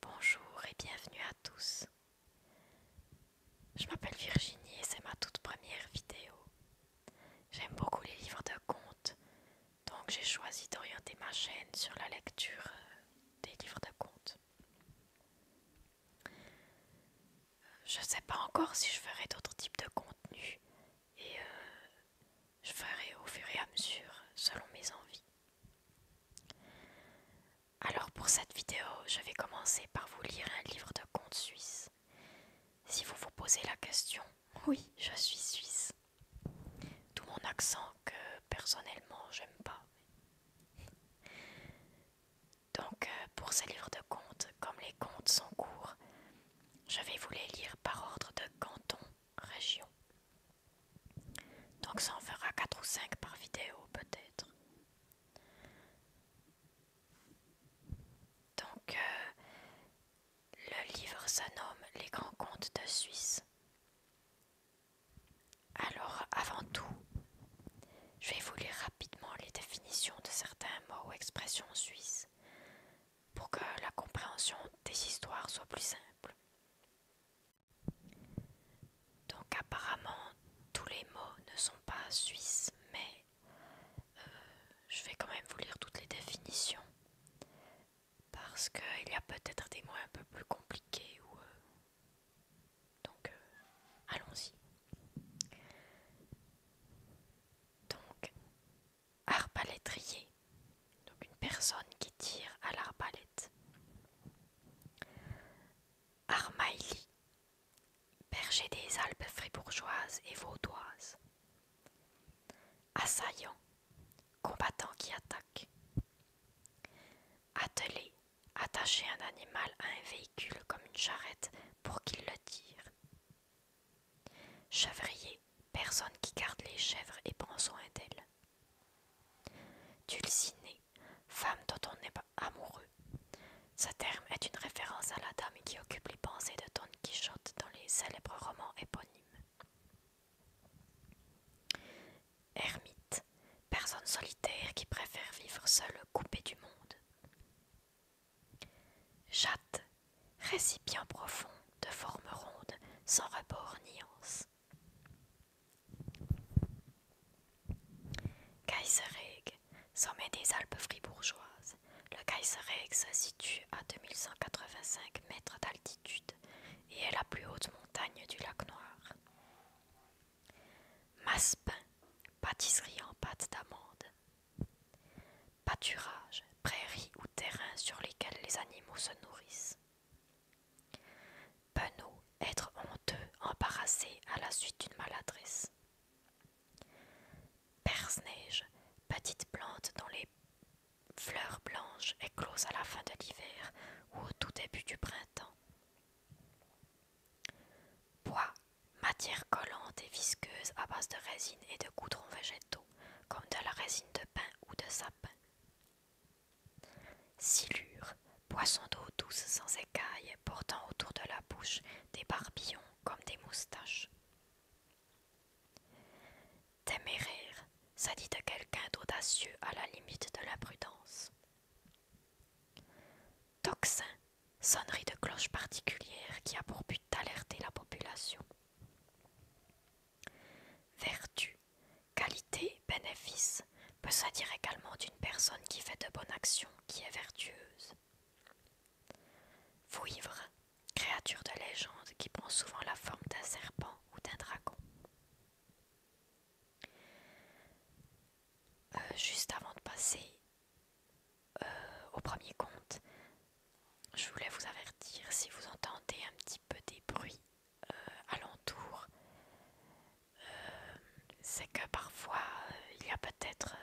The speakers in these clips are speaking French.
Bonjour et bienvenue à tous. Je m'appelle Virginie et c'est ma toute première vidéo. J'aime beaucoup les livres de contes, donc j'ai choisi d'orienter ma chaîne sur la lecture euh, des livres de contes. Euh, je ne sais pas encore si je ferai d'autres types de contenus et euh, je ferai au fur et à mesure, selon mes envies. Alors pour cette vidéo, je vais commencer par vous lire un livre de contes suisse Si vous vous posez la question, oui, je suis suisse. D'où mon accent que personnellement j'aime pas. Donc euh, pour ces livres de contes, comme les contes sont courts, je vais vous les lire par ordre de canton, région, donc ça en fera 4 ou 5 par vidéo peut-être. Donc euh, le livre se nomme Les grands contes de Suisse. Alors avant tout, je vais vous lire rapidement les définitions de certains mots ou expressions suisses pour que la compréhension des histoires soit plus simple. Donc apparemment tous les mots ne sont pas suisses, mais euh, je vais quand même vous lire toutes les définitions parce qu'il y a peut-être des mots un peu plus compliqués euh, donc euh, allons-y. Donc arbalétrier, donc une personne qui tire à l'arbalète. Armailly berger des Alpes fribourgeoises et vaudoises. Assaillant, combattant qui attaque. atteler attacher un animal à un véhicule comme une charrette pour qu'il le tire. Chevrier, personne qui garde les chèvres et prend soin d'elles. Dulcinée, femme dont on n'est amoureux. Ce terme est une référence à la dame qui occupe les pensées de Don Quichotte dans les célèbres romans éponymes. Ermite, personne solitaire qui préfère vivre seule coupée du monde. Jatte, récipient profond de forme ronde, sans rebord ni kaiseregg sommet des Alpes fribourgeoises. Le kaiseregg se situe à 2185 mètres d'altitude et est la plus haute montagne du lac Noir. Maspin, pâtisserie en pâte d'amande. Pâturage, prairies ou terrain sur lesquels les animaux se nourrissent. Penaud, être honteux, embarrassé à la suite d'une maladresse. perse neige petite plante dont les fleurs blanches éclosent à la fin de l'hiver ou au tout début du printemps. Bois, matière collante et visqueuse à base de résine et de goudrons végétaux, comme de la résine de pin ou de sapin. Silure, poisson d'eau douce sans écailles, portant autour de la bouche des barbillons comme des moustaches. Téméraire, ça dit de quelqu'un d'audacieux à la limite de la prudence. Tocsin, sonnerie de cloche particulière qui a pour but d'alerter la population. Vertu, qualité, bénéfice peut se dire également d'une personne qui fait de bonnes actions, qui est vertueuse. Fouivre, créature de légende qui prend souvent la forme d'un serpent ou d'un dragon. Euh, juste avant de passer euh, au premier conte, je voulais vous avertir si vous entendez un petit peu des bruits euh, alentour. Euh, c'est que parfois euh, il y a peut-être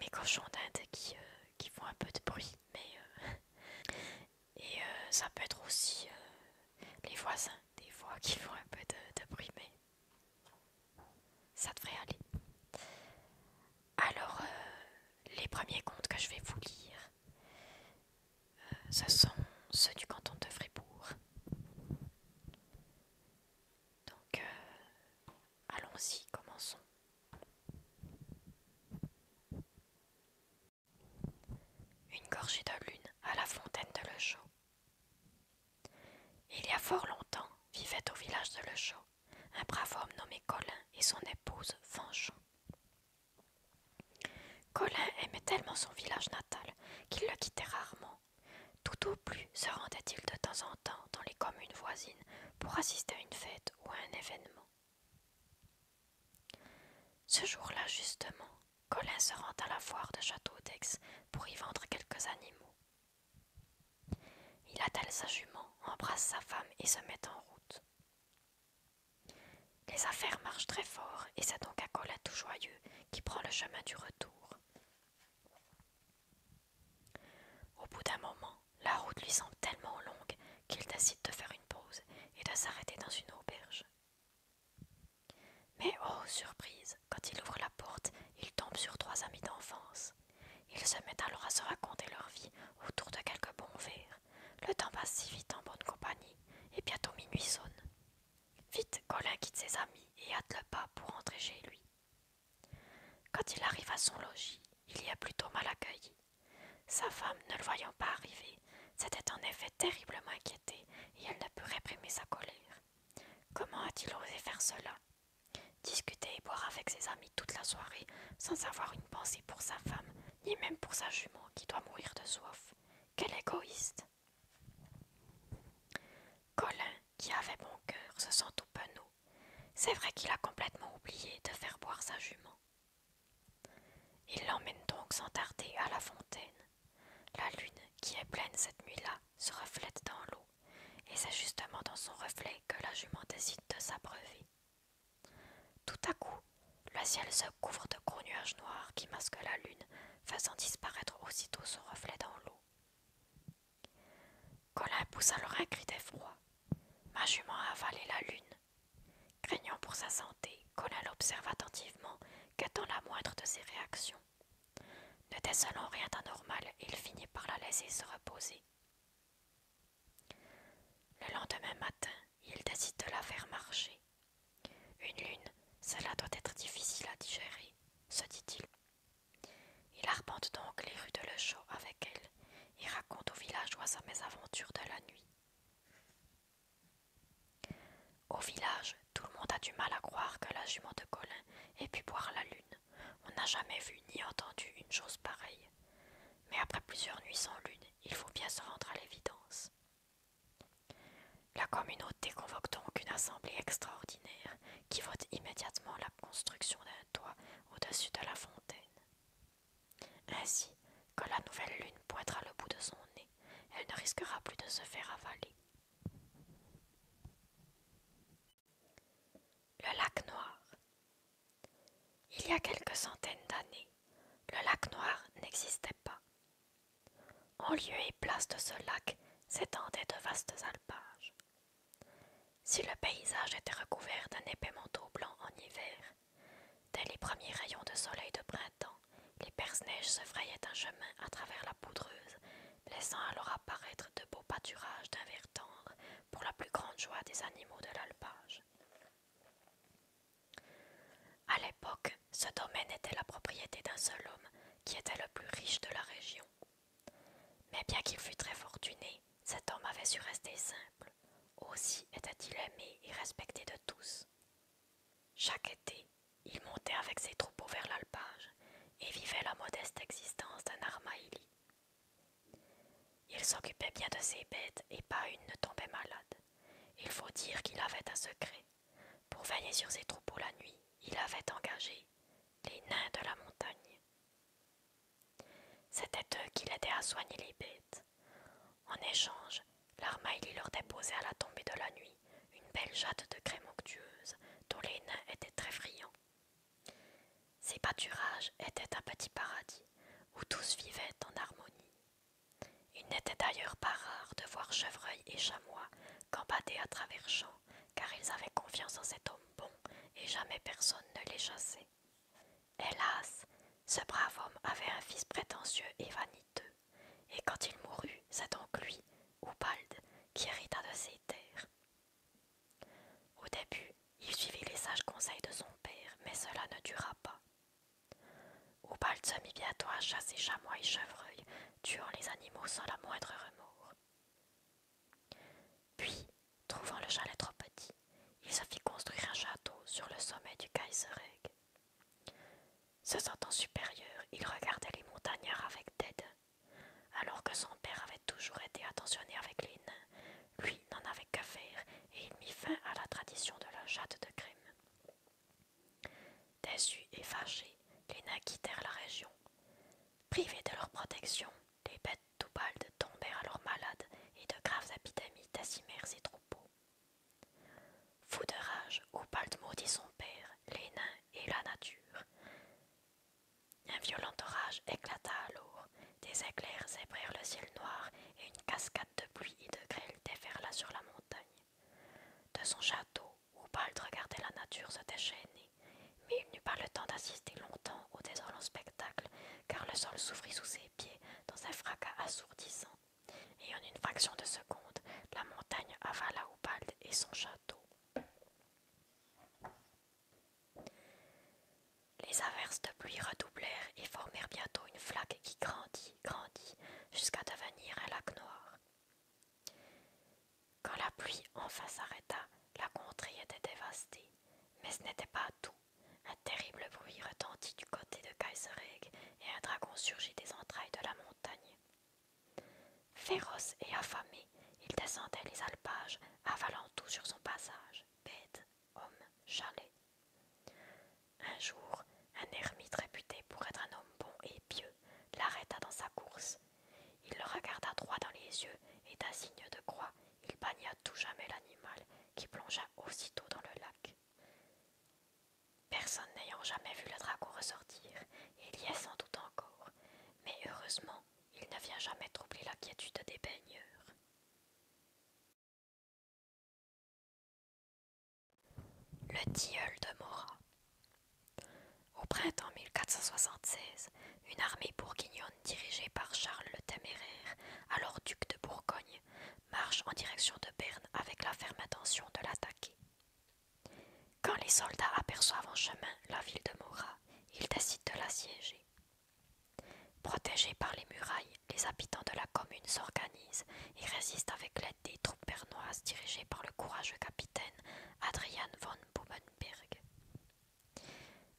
mes cochons d'Inde qui, font un peu de bruit, mais et ça peut être aussi les voisins des fois qui font un peu de, bruit, mais ça devrait aller. Alors, les premiers contes que je vais vous lire, ce sont ceux du canton de Fribourg. Donc, euh, allons-y, commençons. Une gorgée de lune à la fontaine de Le Chaux. Il y a fort longtemps vivait au village de Le Chaux un brave homme nommé Colin et son épouse Fanchon. Colin aimait tellement son village natal qu'il le quittait rarement. Tout au plus se rendait-il de temps en temps dans les communes voisines pour assister à une fête ou à un événement. Ce jour-là, justement, Colin se rend à la foire de Château d'Aix pour y vendre quelques animaux. Il attelle sa jument, embrasse sa femme et se met en route. Les affaires marchent très fort et c'est donc à tout joyeux qui prend le chemin du retour. Au bout d'un moment, la route lui semble tellement longue qu'il décide de faire une pause et de s'arrêter dans une auberge. Mais oh, surprise, quand il ouvre la porte, il tombe sur trois amis d'enfance. Ils se mettent alors à se raconter leur vie autour de quelques bons verres. Le temps passe si vite en bonne compagnie, et bientôt minuit sonne. Vite, Colin quitte ses amis et hâte le pas pour rentrer chez lui. Quand il arrive à son logis, il y a plutôt mal accueilli. Sa femme, ne le voyant pas arriver, s'était en effet terriblement inquiétée et elle ne peut réprimer sa colère. Comment a-t-il osé faire cela Discuter et boire avec ses amis toute la soirée sans avoir une pensée pour sa femme, ni même pour sa jumeau qui doit mourir de soif. Quel égoïste. Colin, qui avait bon cœur, se sent tout penaud. C'est vrai qu'il a complètement oublié de faire boire sa jument. Il l'emmène donc sans tarder à la fontaine. La lune, qui est pleine cette nuit-là, se reflète dans l'eau, et c'est justement dans son reflet que la jument décide de s'abreuver. Tout à coup, le ciel se couvre de gros nuages noirs qui masquent la lune, faisant disparaître aussitôt son reflet dans l'eau. Colin pousse alors un cri d'effroi. Ma jument a avalé la lune. Craignant pour sa santé, Colin l'observe attentivement, guettant la moindre de ses réactions. Ne décelant rien d'anormal, il finit par la laisser se reposer. Le lendemain matin, il décide de la faire marcher. Une lune, cela doit être difficile à digérer, se dit-il. Il arpente donc les rues de Le Chaux avec elle et raconte au villageois sa mésaventure de la nuit. Au village, tout le monde a du mal à croire que la jument de Colin ait pu boire la lune. On n'a jamais vu ni entendu une chose pareille. Mais après plusieurs nuits sans lune, il faut bien se rendre à l'évidence. La communauté convoque donc une assemblée extraordinaire qui vote immédiatement la construction d'un toit au-dessus de la fontaine. Ainsi, quand la nouvelle lune pointera le bout de son nez, elle ne risquera plus de se faire avaler. Le lac noir. Il y a quelques centaines d'années, le lac noir n'existait pas. En lieu et place de ce lac s'étendaient de vastes alpages. Si le paysage était recouvert d'un épais manteau blanc en hiver, dès les premiers rayons de soleil de printemps, les perce-neiges se frayaient un chemin à travers la poudreuse, laissant alors apparaître de beaux pâturages d'un vert tendre pour la plus grande joie des animaux de l'alpage. À l'époque, ce domaine était la propriété d'un seul homme qui était le plus riche de la région. Mais bien qu'il fût très fortuné, cet homme avait su rester simple. Aussi était-il aimé et respecté de tous. Chaque été, il montait avec ses troupeaux vers l'alpage et vivait la modeste existence d'un armaïli. Il s'occupait bien de ses bêtes et pas une ne tombait malade. Il faut dire qu'il avait un secret. Pour veiller sur ses troupeaux la nuit, il avait engagé les nains de la montagne. C'était eux qui l'aidaient à soigner les bêtes. En échange, lui leur déposait à la tombée de la nuit une belle jatte de crème onctueuse dont les nains étaient très friands. Ces pâturages étaient un petit paradis où tous vivaient en harmonie. Il n'était d'ailleurs pas rare de voir chevreuil et chamois gambader à travers champs, car ils avaient confiance en cet homme bon et jamais personne ne les chassait. Hélas, ce brave homme avait un fils prétentieux et vaniteux, et quand il mourut, c'est donc lui, Ubald, qui hérita de ses terres. Au début, il suivit les sages conseils de son père, mais cela ne dura pas. Au se mit bientôt à chasser chamois et chevreuils, tuant les animaux sans la moindre remords. Puis, trouvant le chalet trop petit, il se fit construire un château sur le sommet du Kaisereg. Se sentant supérieur, il regardait les montagnards avec tête, alors que son père avait toujours été attentionné avec les nains, lui n'en avait qu'à faire, et il mit fin à la tradition de la chatte de crème. Déçus et fâchés, les nains quittèrent la région. Privés de leur protection, les bêtes d'Oubald tombèrent alors malades et de graves épidémies décimèrent ses troupeaux. Fou de rage, Oubald maudit son père, les nains et la nature. Un violent orage éclata alors, des éclairs zébrèrent le ciel noir et une cascade de pluie et de grêle déferla sur la montagne. De son château, Oubald regardait la nature se déchaîner, mais il n'eut pas le temps d'assister longtemps au désolant spectacle, car le sol s'ouvrit sous ses pieds dans un fracas assourdissant, et en une fraction de seconde, la montagne avala Oubald et son château. Les averses de pluie redoublèrent et formèrent bientôt une flaque qui grandit, grandit, jusqu'à devenir un lac noir. Quand la pluie enfin s'arrêta, la contrée était dévastée. Mais ce n'était pas tout. Un terrible bruit retentit du côté de Kaisereg et un dragon surgit des entrailles de la montagne. Féroce et affamé, il descendait les alpages, avalant tout sur son passage, bête homme chalet. Un jour, un ermite réputé pour être un homme bon et pieux l'arrêta dans sa course. Il le regarda droit dans les yeux et d'un signe de croix, il bagna tout jamais l'animal qui plongea aussitôt dans le lac. Personne n'ayant jamais vu le dragon ressortir, il y est sans doute encore, mais heureusement, il ne vient jamais troubler la quiétude des baigneurs. Le tilleul de Mora. Au printemps 1476, une armée bourguignonne dirigée par Charles le Téméraire, alors duc de Bourgogne, marche en direction de Berne avec la ferme intention de l'attaquer. Quand les soldats aperçoivent en chemin la ville de Mora, ils décident de l'assiéger. Protégés par les murailles, les habitants de la commune s'organisent et résistent avec l'aide des troupes bernoises dirigées par le courageux capitaine Adrian von Bubenberg.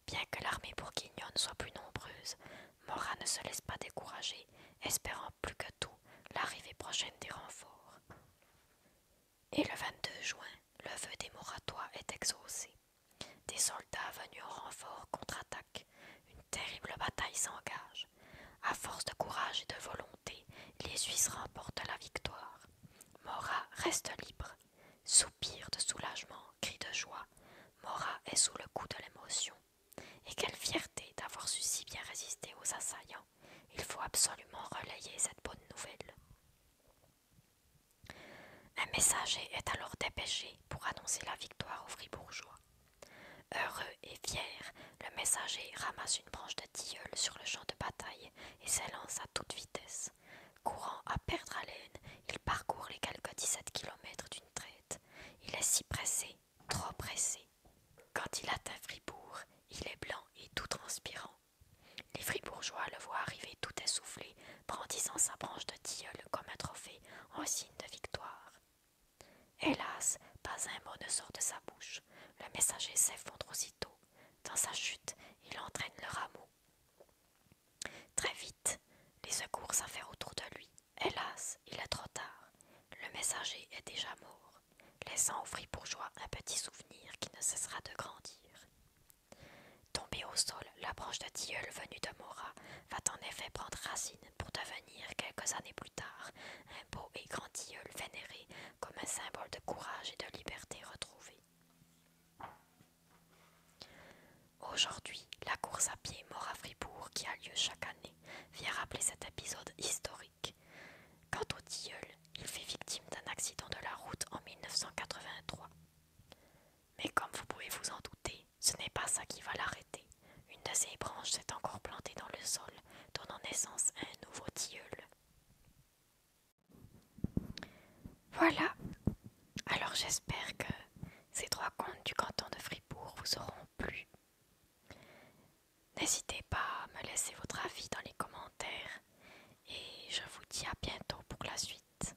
Bien que l'armée bourguignonne soit plus nombreuse, Morat ne se laisse pas décourager, espérant plus que tout l'arrivée prochaine des renforts. Et le 22 juin, le vœu des Moratois est exaucé. Des soldats venus au renfort contre-attaquent. Une terrible bataille s'engage. À force de courage et de volonté, les Suisses remportent la victoire. Mora reste libre. Soupir de soulagement, cri de joie. Mora est sous le coup de l'émotion. Et quelle fierté d'avoir su si bien résister aux assaillants. Il faut absolument relayer cette bonne nouvelle. Un messager est alors dépêché pour annoncer la victoire aux Fribourgeois. Heureux et fier, le messager ramasse une branche de tilleul sur le champ de bataille et s'élance à toute vitesse. Courant à perdre haleine, il parcourt les quelques dix-sept kilomètres d'une traite. Il est si pressé, trop pressé. Quand il atteint Fribourg, il est blanc et tout transpirant. Les fribourgeois le voient arriver tout essoufflé, brandissant sa branche de tilleul comme un trophée en signe de victoire. Hélas, pas un mot ne sort de sa bouche. Le messager s'effondre aussitôt. Dans sa chute, il entraîne le rameau. Très vite, les secours s'affairent autour de lui. Hélas, il est trop tard. Le messager est déjà mort, laissant au fribourgeois un petit souvenir qui ne cessera de grandir. Tombé au sol, la branche de tilleul venue de Mora va en effet prendre racine pour devenir, quelques années plus tard, un beau et grand tilleul vénéré comme un symbole de courage et de liberté retrouvé. Aujourd'hui, la course à pied mort à Fribourg qui a lieu chaque année vient rappeler cet épisode historique. Quant au tilleul, il fait victime d'un accident de la route en 1983. Mais comme vous pouvez vous en douter, ce n'est pas ça qui va l'arrêter. Une de ses branches s'est encore plantée dans le sol, donnant naissance à un nouveau tilleul. Voilà. Alors j'espère que ces trois contes du canton de Fribourg vous auront plu. N'hésitez pas à me laisser votre avis dans les commentaires et je vous dis à bientôt pour la suite.